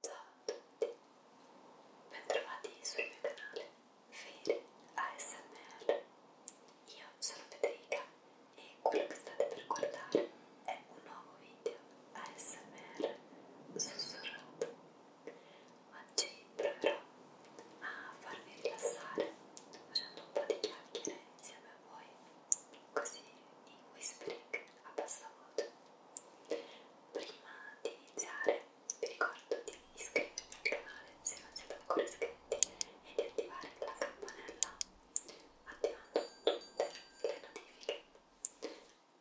Ciao a tutti, bentrovati sul mio canale Fere ASMR. Io sono Federica e quello che state per guardare è un nuovo video ASMR sussurrato. Oggi proverò a farvi rilassare facendo un po' di chiacchiere insieme a voi, così in whispering a bassa voce. Prima di iniziare vi ricordo di iscrivervi al canale se non siete ancora iscritti e di attivare la campanella attivando tutte le notifiche.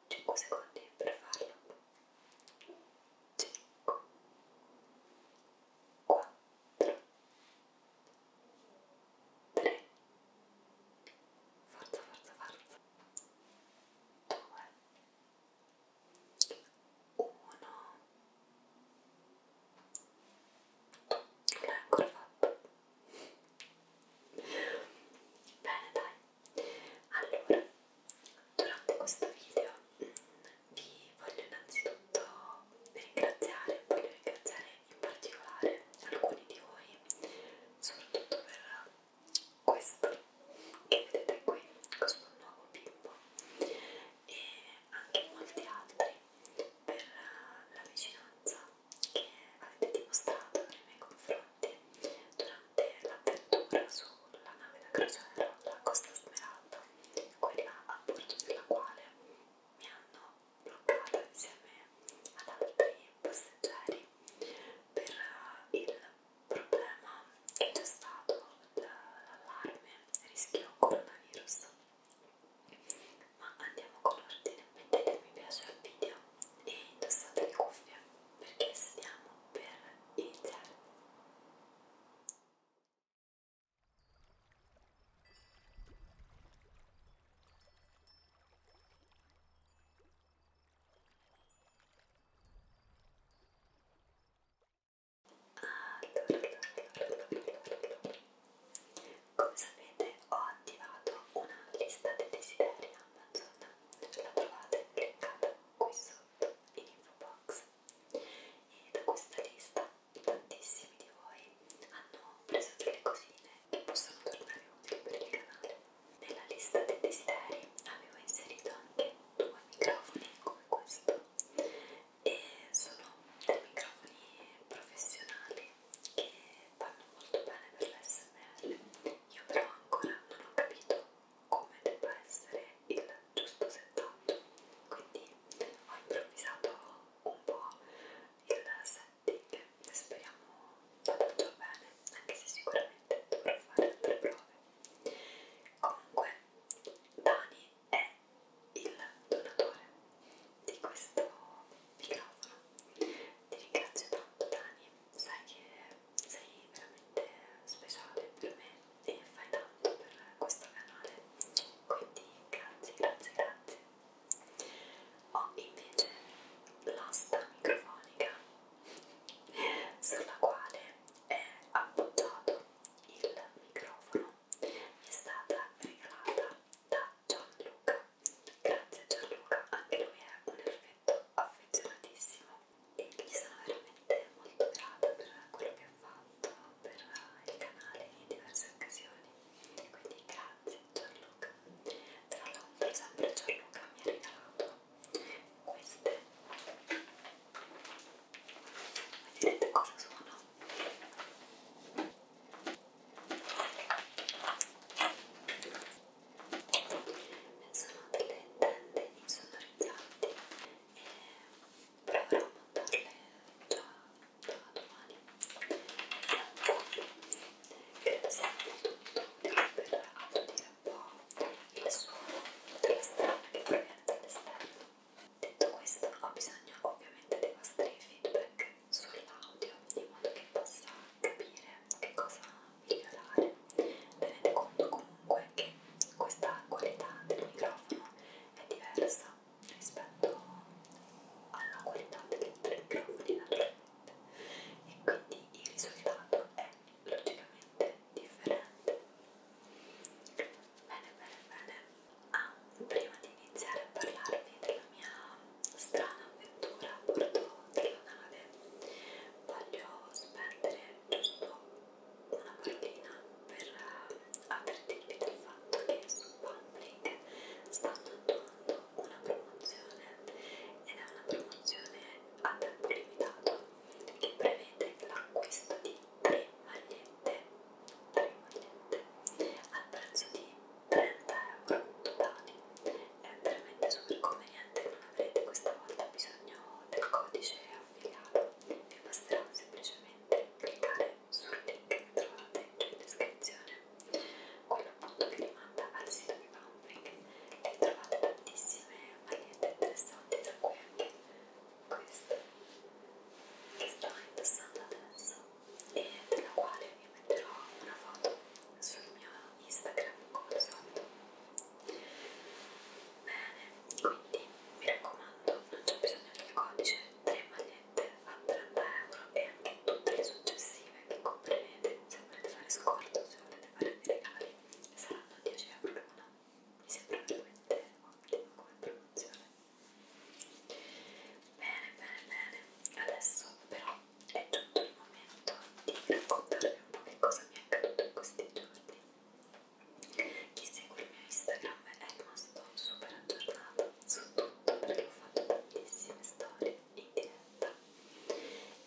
5 secondi per farlo. 5 4 3 Forza, forza, forza due, uno. Non l'ho ancora fatto. Bene, dai. Allora, durante questo video mm, vi voglio innanzitutto ringraziare, voglio ringraziare in particolare alcuni di voi, soprattutto per questo che vedete qui, questo nuovo bimbo e anche molti altri per la vicinanza che avete dimostrato nei miei confronti durante l'avventura sulla nave da crociera, la Costa Smeralda, quella a bordo della quale mi hanno bloccato insieme ad altri passeggeri per eh, il problema che c'è stato dall'allarme rischio coronavirus ma andiamo con ordine mettete mi piace al video e indossate le cuffie perché stiamo per iniziare come sapete ho attivato una lista dei desideri Amazon, la trovate cliccata qui sotto in info box e da questa lista tantissimi di voi hanno preso delle cosine che possono tornare utili per il canale. Nella lista dei desideri avevo inserito anche due microfoni come questo e sono dei microfoni professionali che vanno molto bene per l'SMR. Io però ancora non ho capito come debba essere il giusto settaggio, quindi ho improvvisato un po' il set Ding. Speriamo vada tutto bene, anche se sicuramente dovrò fare altre prove. Comunque, Dani è il donatore di questo microfono. Ti ringrazio tanto, Dani. Sai che sei veramente speciale per me e fai tanto per questo canale. Quindi, grazie, grazie, grazie. Ho invece l'asta microfonica sulla quale è appoggiato il microfono. Mi è stata regalata da Gianluca. Grazie Gianluca, anche lui è un effetto affezionatissimo e gli sono veramente molto grata per quello che ha fatto per il canale in diverse occasioni quindi grazie Gianluca tra l'altro sempre Gianluca mi ha regalato queste vedrete cosa sono sono delle tende insonorizzanti e proverò a montarle già a domani credo sia molto utile per attutire un po' il suono della strada che proviene dall'esterno detto questo ho bisogno ovviamente dei vostri feedback sull'audio in modo che possa capire che cosa migliorare tenete conto comunque che questa qualità del microfono è diversa rispetto alla qualità delle tre gravoli naturalmente e quindi il risultato è logicamente differente bene bene bene ah, prima di iniziare a parlarvi della mia strana avventura a bordo della nave voglio spendere giusto una parolina per eh, avvertirvi del fatto che su Handbrake stanno attuando una promozione ed è una promozione a tempo limitato che prevede l'acquisto di 3 magliette, 3 magliette al prezzo di 30 euro totali. È veramente super conveniente, non avrete questa volta bisogno del codice affiliato, vi basterà semplicemente cliccare sul link che trovate giù in descrizione quello appunto vi rimanda al sito di Pumping e trovate tantissime magliette interessanti tra cui anche questa che sto indossando adesso e della quale vi metterò una foto sul mio Instagram come solito bene quindi mi raccomando non c'è bisogno del codice 3 magliette niente a 30 euro e anche tutte le successive che comprerete se volete fare scorto, se volete fare dei regali saranno 10 euro l'una mi sembra veramente ottimo come promozione bene bene bene adesso però è giunto il momento di raccontarvi un po' che cosa mi è accaduto in questi giorni chi segue il mio Instagram è rimasto super aggiornato su tutto perché ho fatto tantissime storie in diretta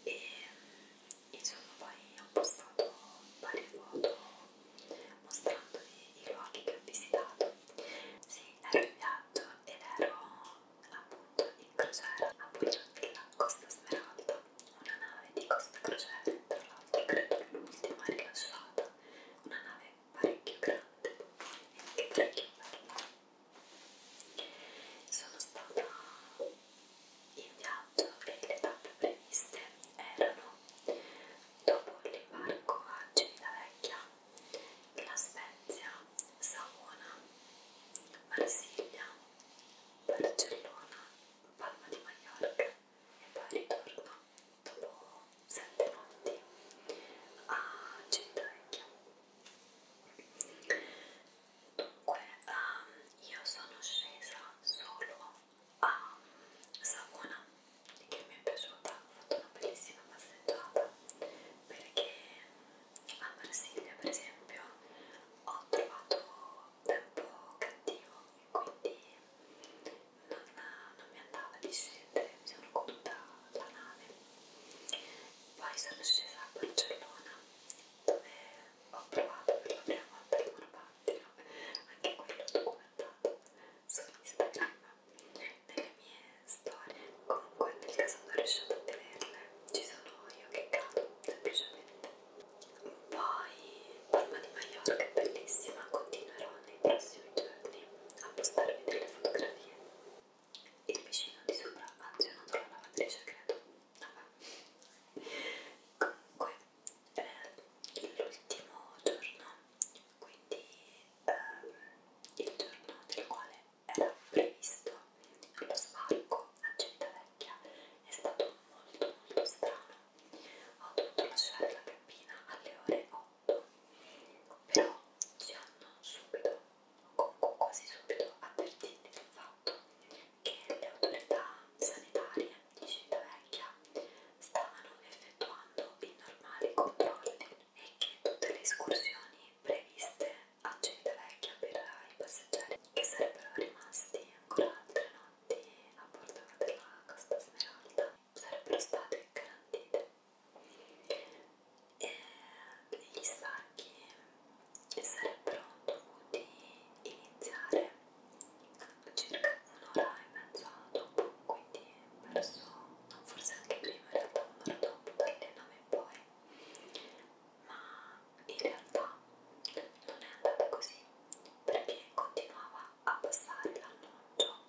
e insomma poi ho postato varie foto mostrandovi i luoghi che ho visitato sì, ero in viaggio ed ero appunto in crociera a bordo della Costa Smeralda una nave di Costa Crociere tra l'altro credo l'ultima rilasciata una nave parecchio grande e anche parecchio bello. Sono stata in viaggio e le tappe previste erano dopo l'imbarco a Civitavecchia, La Spezia, Savona, Marsiglia, Barcellona, Palma di Mallorca e poi ritorno dopo sette notti a Civitavecchia. Dunque, um, io sono scesa solo a Savona, che mi è piaciuta, ho fatto una bellissima passeggiata, perché a Marsiglia, per esempio, ho trovato tempo cattivo e quindi non, non mi andava di scendere, mi sono caduta la nave. Poi sono scesa a Barcellona dove ho provato per la prima volta il monopattino, anche quello documentato su Instagram, nelle mie storie. Comunque nel caso non riuscite a tenerle, ci sono io che cado, semplicemente. Poi Palma di Mallorca è bellissima, continuerò nei prossimi giorni a postarvi delle fotografie. Il vicino di sopra ha azionato la lavatrice, credo. Vabbè. Comunque, eh, l'ultimo giorno, quindi ehm, il giorno del quale era previsto lo sbarco a Civitavecchia, è stato molto molto strano. Ho dovuto lasciare la cabina alle ore 8 otto però ci hanno subito quasi subito avvertiti del fatto che le autorità sanitarie di Civitavecchia stavano effettuando i normali controlli e che tutte le escursioni previste a Civitavecchia per i passeggeri che sarebbero rimasti ancora altre notti a bordo della Costa Smeralda sarebbero state garantite e gli stacchi sarebbero dovuti iniziare circa un'ora e mezza dopo quindi verso, no, forse anche prima in realtà un'ora dopo dalle 9 in poi ma in realtà non è andata così perché continuava a passare l'annuncio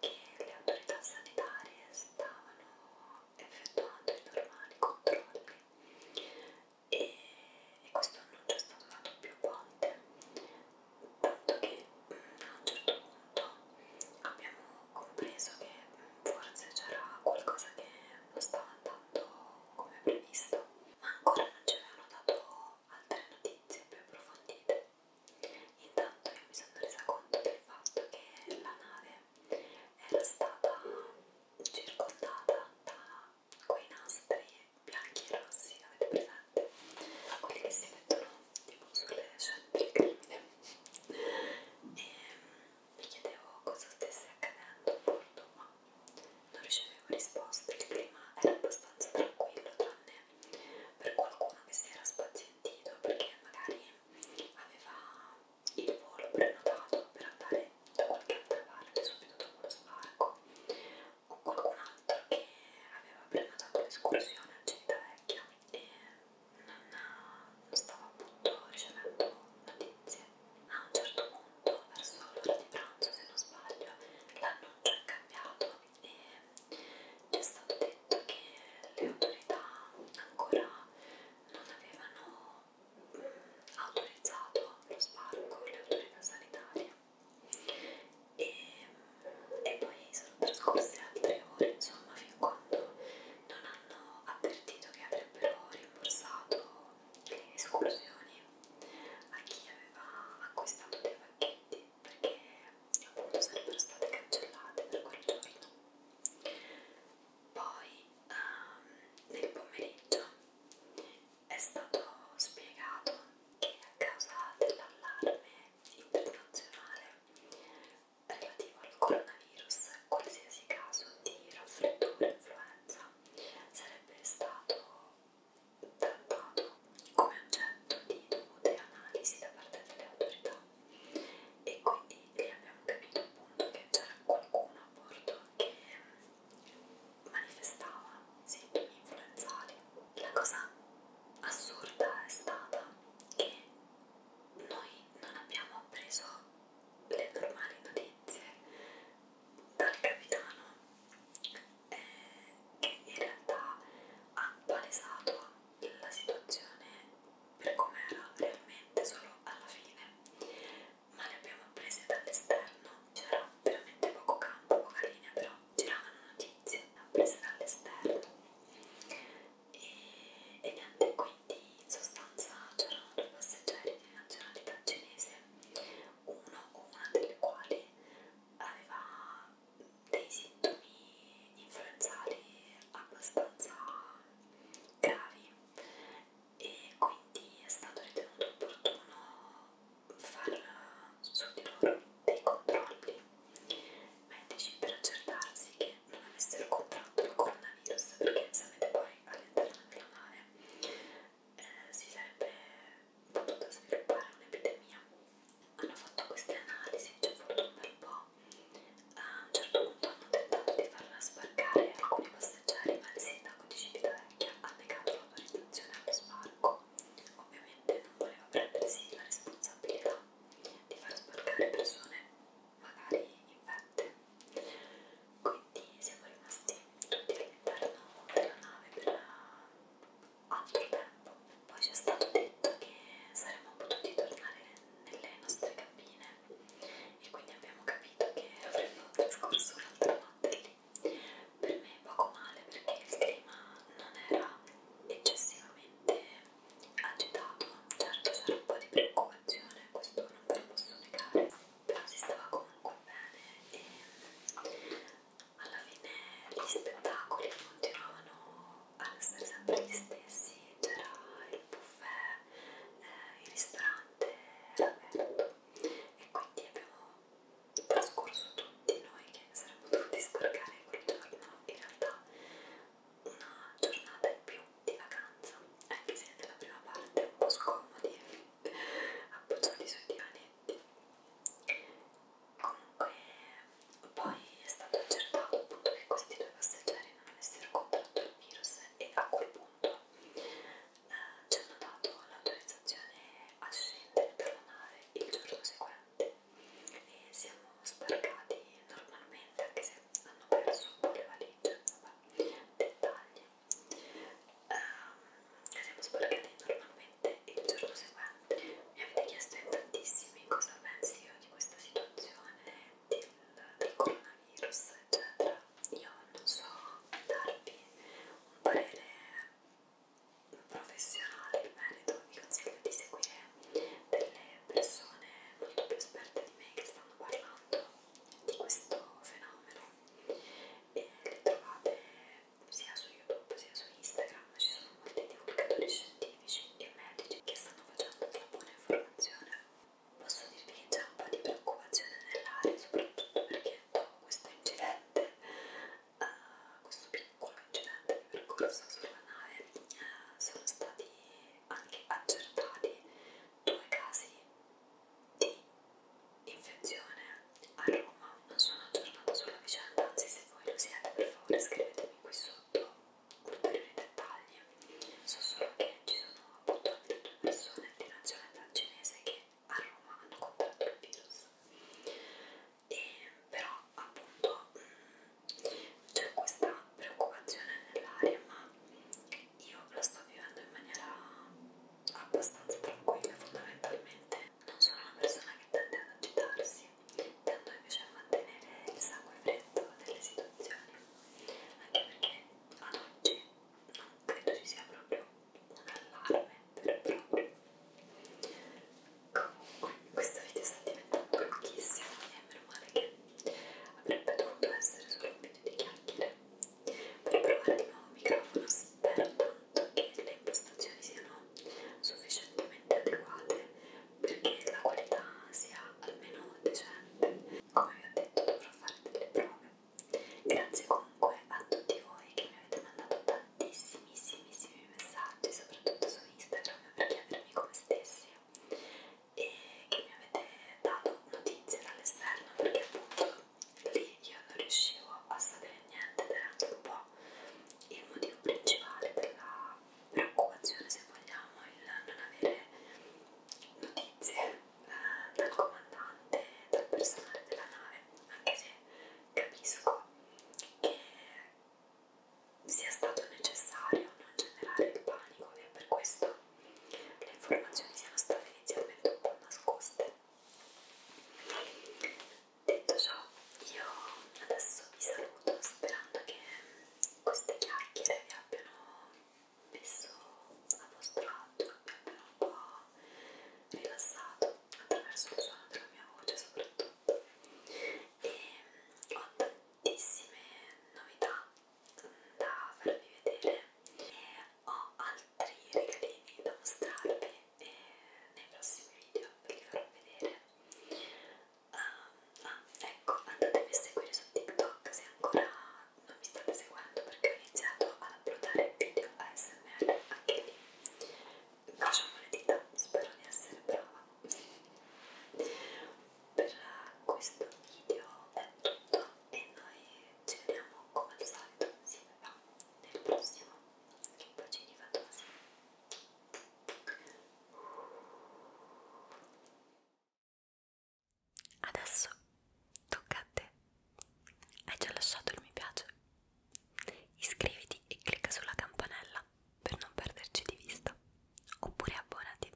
che le autorità sanitarie stavano effettuando i normali controlli e, e questo annuncio è stato fatto più volte tanto che mm, a un certo punto abbiamo compreso che mm, forse c'era qualcosa che non stava andando come previsto ma ancora non ci avevano dato altre notizie più approfondite. Intanto io mi sono resa conto del fatto che la nave era stata circondata da quei nastri bianchi e rossi, avete presente? Quelli che si mettono tipo sulle scene del crimine. E ehm, mi chiedevo cosa stesse accadendo a bordo, ma non ricevevo risposte, il clima era abbastanza tranquillo tranne per qualcuno che si era spazientito perché magari aveva il volo prenotato per andare da qualche altra parte subito dopo lo sbarco o qualcun altro che aveva prenotato l'escursione a Civitavecchia e non stava appunto ricevendo notizie. A un certo punto, verso l'ora di pranzo, se non sbaglio, l'annuncio è cambiato e ci è stato detto che le autorità ancora non avevano mm, autorizzato lo sbarco, le autorità sanitarie e, mm, e poi sono trascorse altre ore insomma fin quando non hanno avvertito che avrebbero rimborsato le escursioni a chi aveva acquistato dei pacchetti perché appunto sarebbero state cancellate per quel giorno. Poi um, nel pomeriggio è stato spiegato che a causa dell'allarme internazionale relativo al coronavirus, qualsiasi caso di raffreddore o influenza sarebbe stato trattato come oggetto di dovute analisi da parte delle autorità e quindi lì abbiamo capito appunto che c'era qualcuno a bordo che mm, manifestava sintomi influenzali. La cosa assurda è stata che noi non abbiamo appreso le normali notizie dal capitano eh, che in realtà ha palesato la situazione per come era realmente solo alla fine, ma le abbiamo prese dall'esterno, c'era veramente poco campo, poca linea, però giravano notizie, le abbiamo prese dall'esterno e, e niente, quindi in sostanza c'erano due passeggeri di nazionalità cinese, uno o una delle quali che aveva dei sintomi influenzali abbastanza gravi e quindi è stato ritenuto opportuno far su di loro dei controlli medici per accertarsi che non avessero contratto il coronavirus perché sapete poi all'interno della nave eh, si sarebbe potuta sviluppare un'epidemia. Hanno fatto queste analisi, ci ha fortuna un po'. A un certo punto hanno tentato di farla sbarcare alcuni passeggeri, ma il sindaco di Civitavecchia ha negato l'autorizzazione allo sbarco. Ovviamente non voleva prendersi la responsabilità di far sbarcare persone magari infette. Quindi quindi siamo rimasti tutti all'interno della nave per altro tempo. Poi ci è stato detto che saremmo potuti tornare nelle nostre cabine e quindi abbiamo capito che avremmo trascorso un'altra notte lì. Per me poco male perché il clima non era eccessivamente agitato, certo c'era un po' di preoccupazione, questo non ve lo posso negare si stava comunque bene e ehm, alla fine gli spettacoli continuavano ad essere sempre gli stessi, c'era il buffet, eh, il ristorante era aperto e quindi abbiamo trascorso tutti noi che saremmo dovuti scaricare quel giorno in realtà una giornata in più di vacanza anche se nella prima parte un po' scomodi appoggiati sui divanetti. Comunque, poi è stato accertato appunto che questi due passeggeri non avessero contratto il virus e a quel punto eh, ci hanno dato l'autorizzazione a scendere per la nave il giorno seguente e siamo sbarcati normalmente anche se hanno perso un po' le valigie, vabbè, dettagli ehm, siamo sbarcati normalmente il giorno seguente. Mi avete chiesto in tantissimi cosa pensi io di questa situazione del, del coronavirus, eccetera. Io non so darvi un parere professionale in merito, vi consiglio di seguire delle persone molto più esperte di me che stanno parlando di questo fenomeno e le trovate sia su YouTube sia su Instagram, ci sono molti divulgatori scientifici e medici che stanno facendo della buona informazione. Posso dirvi che c'è un po' di preoccupazione nell'aria, soprattutto perché dopo questo incidente, uh, questo piccolo incidente di percorso sulla nave, uh, sono stati anche accertati due casi di infezione a Roma. Non sono aggiornata sulla vicenda, anzi se voi lo siete per favore scrivetemi qui sotto ulteriori dettagli. So solo che ci sono appunto altre due persone di nazionalità cinese che a Roma hanno contratto il virus. E però appunto mm, c'è questa preoccupazione nell'aria, ma io la sto vivendo in maniera abbastanza tranquilla fondamentalmente. Non sono una persona che tende ad agitarsi, tendo invece a mantenere il sangue freddo delle situazioni, anche perché ad oggi non credo ci sia proprio un allarme vero e proprio. Comunque, questo video sta diventando lunghissimo e meno male che avrebbe dovuto essere solo un video di chiacchiere per provare di nuovo il microfono spero tanto che le impostazioni siano sufficientemente adeguate perché la qualità sia almeno decente come vi ho detto dovrò fare delle prove grazie comunque a tutti voi che mi avete mandato tantissimissimi messaggi soprattutto su Instagram per chiedermi come stessi e che mi avete dato notizie dall'esterno perché appunto lì io non riuscivo a sapere niente ed era anche un po' il motivo principale della preoccupazione se vogliamo il non avere notizie eh, dal comandante dal personale della nave anche se capisco che sia stato necessario non generare il panico e per questo le informazioni siano state inizialmente un po' nascoste. Detto ciò, io adesso vi saluto sperando che queste chiacchiere vi abbiano messo a vostro agio, vi abbiano un po' rilassato attraverso il suono della mia voce soprattutto. E ho tantissime novità da farvi vedere e ho altri regalini da mostrarvi e nei prossimi video ve li farò vedere um, ah, ecco andatemi a seguire su TikTok se ancora non mi state seguendo perché ho iniziato ad uploadare video ASMR anche lì facciamo le dita, spero di essere brava per questo video è tutto e noi ci vediamo come al solito insieme va nel prossimo bacini fatosi adesso tocca a te hai già lasciato il mi piace iscriviti e clicca sulla campanella per non perderci di vista oppure abbonati